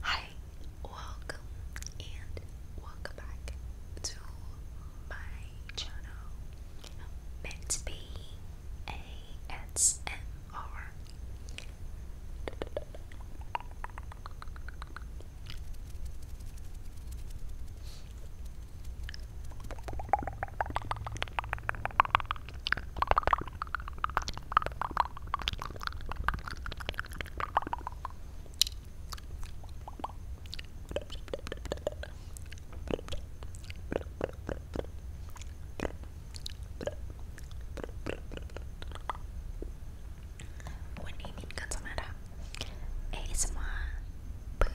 Hi, welcome and welcome back to my channel. Let's วันนี้มินก็จะมาทำ ASMR เพื่อ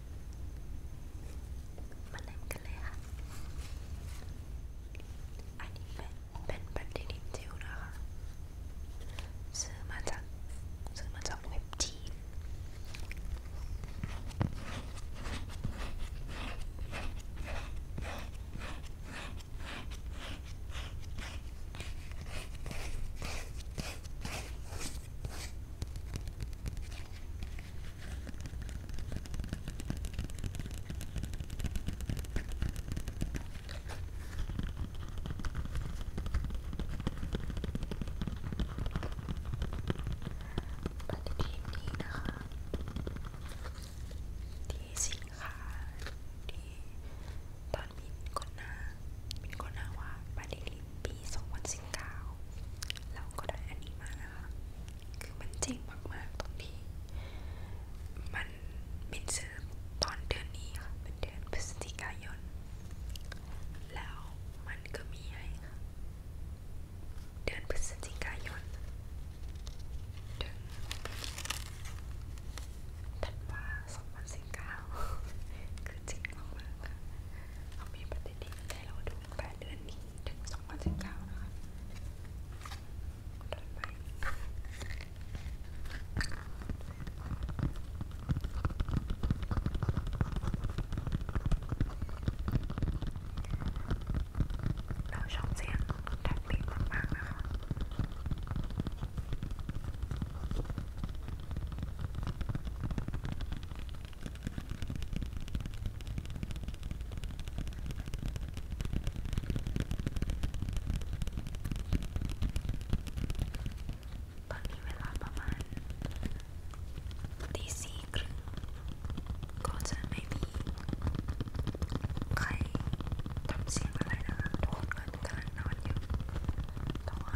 มาเล่นกันเลยค่ะอันนี้เป็นเป็นแบรนด์ดินจิวนะคะซื้อมาจากซื้อมาจากเว็บจีนปฏิทินดีนะคะที่สินค้าที่ตอนมินกดหน้ามินกดหน้าว่าปฏิทินปี 2019แล้วก็ได้อันนี้มานะคะ คือมันเจ๋งมากๆตรงที่มันเป็นซื้อตอนเดือนนี้ค่ะเป็นเดือนพฤศจิกายน แล้วมันก็มีให้ค่ะ เดือนพฤศจิกายนถึงธันวา2019คือจริงมากๆค่ะเอามีปฏิทินให้เราดูแปดเดือนนี้ถึงสองพันสิบเก้านะคะต่อไปเราชอบเสียงแท็บลิงมากๆนะคะตอนนี้เวลาประมาณตีสี่ครึ่งก็จะไม่มีใครทำเสียงอะไรนะคะทุกคนกำลังนอนอยู่แต่ว่า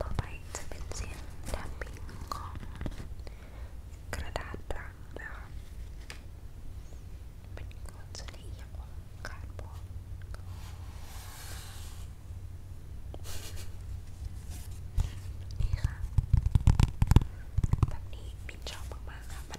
ต่อไปจะเป็นเสียงแทปปิ้งของกระดาษรังนะคะเป็นคนจะได้ยินว่าการบอกนี่ค่ะ แบบนี้บินชอบมากๆค่ะ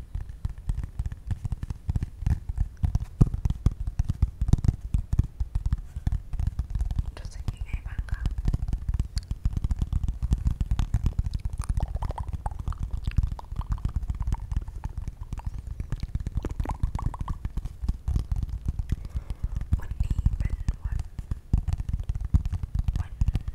รู้สึกยังไงบ้างคะวันนี้เป็นวันวัน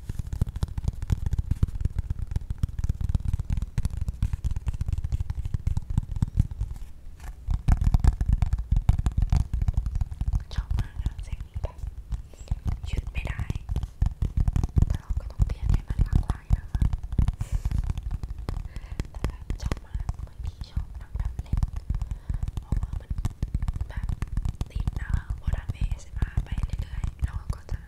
ชอบมากนะเสียงนี้แบบยืดไม่ได้แต่เราก็ต้องเปลี่ยนให้มันหลากหลายนะคะแต่แบบชอบมากบางทีชอบนั่งทำเล่นเพราะว่ามันแบบติดนะโบราณเมสมาไปเรื่อยๆเราก็จะ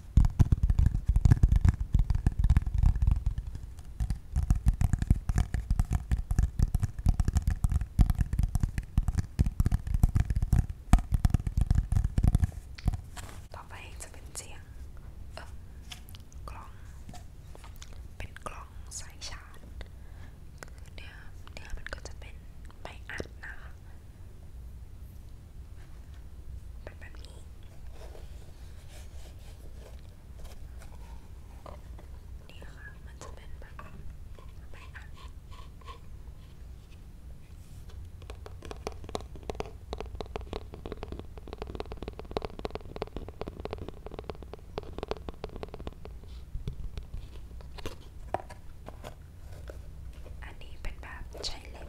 ต่อไปจะเป็นเสียงเออกล้อง เป็นกล้องสายชาร์จคือเนื้อเนื้อมันก็จะเป็นไม้อัดนะคะเป็นแบบนี้นี่ค่ะมันจะเป็นแบบไปอ่ะอันนี้เป็นแบบใช้เล็บ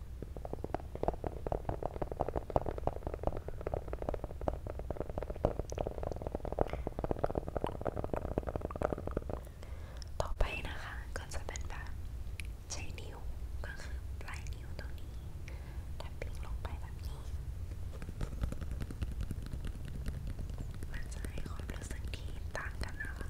ต่อไปนะคะก็จะเป็นแบบใช้นิ้วก็คือปลายนิ้วตรงนี้ทับปิ้งลงไปแบบนี้มันจะให้ความรู้สึกที่ต่างกันนะคะ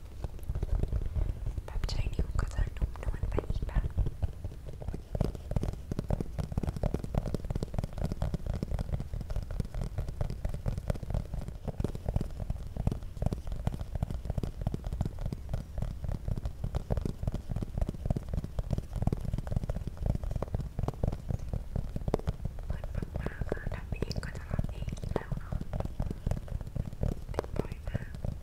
แบบใช้นิ้วก็จะนุ่มนวลไปอีกแบบมันมากๆค่ะทำเองก็จะทำเองแล้วเนาะเต็มปล่อยมาก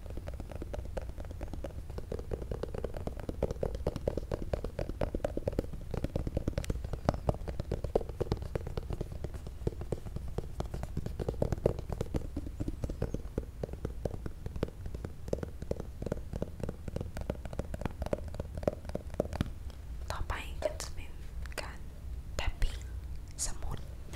ต่อไปก็จะเป็นการแทปปิ้งสมุดเ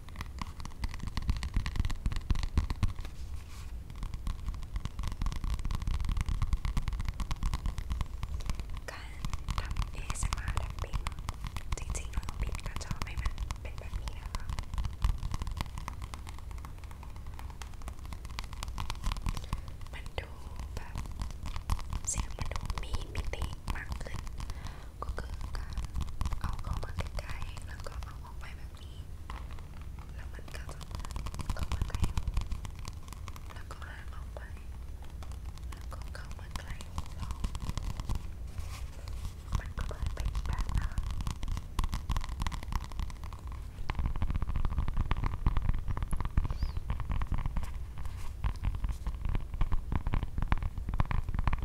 การทำเอสมาดับเบิลจริงๆเราต้องปิดกระจกให้มันเป็นแบบนี้นะคะมันดูแบบเสียงมันดูมีมิติมากขึ้นก็คือการเอาเข้ามาใกล้ๆแล้วก็เอาออกไปแบบนี้ แล้วมันก็จะเข้ามาใกล้หูแล้วก็ห่างออกไปแล้วก็เข้ามาใกล้หูเรามันก็เปิดไปอีกแบบนะ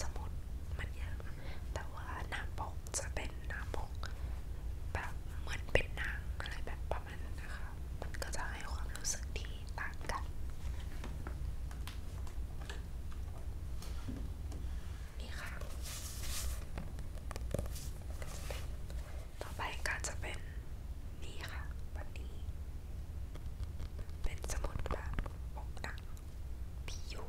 สมุดมันเยอะแต่ว่าหน้าปกจะเป็นหน้าปกแบบเหมือนเป็นนางอะไรแบบประมาณนั้นนะคะมันก็จะให้ความรู้สึกที่ต่างกันนี่ค่ะต่อไปก็จะเป็นนี่ค่ะวันนี้ เป็นสมุดแบบปกหนังที่อยู่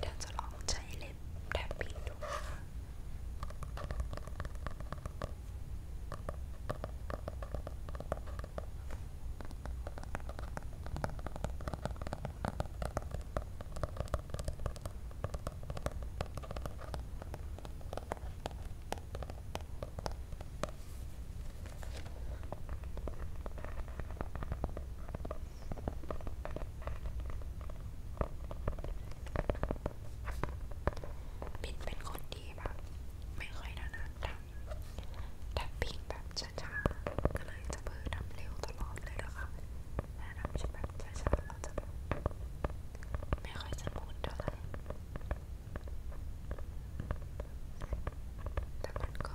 เดี๋ยวจะลองใช้เล็บแทบปีดูนะคะปินเป็นคนดีแบบไม่ค่อยนานๆทำแต่ปินแบบช้าๆก็เลยจะเพิ่มทำเร็วตลอดเลยนะคะถ้าทำแบบช้าๆเราจะแบบไม่ค่อยจะพูดเท่าไหร่แต่มันก็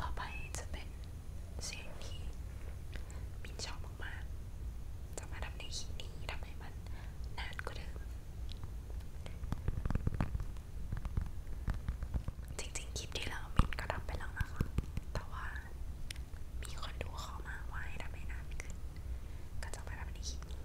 ต่อไปจะเป็นเสียงที่มินชอบมากๆจะมาทำในคลิปนี้ทำให้มันนานกว่าเดิม จริงๆคลิปที่แล้วมินก็ทำไปแล้วนะคะ แต่ว่ามีคนดูขอมาว่าให้ทำให้นานขึ้นก็จะไปทำในคลิปนี้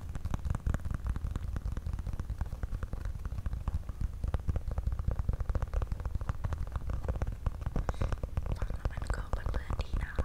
ฟังแล้วมันก็บันเทิงดีนะคะ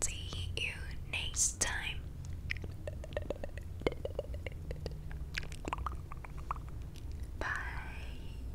See you next time. Bye.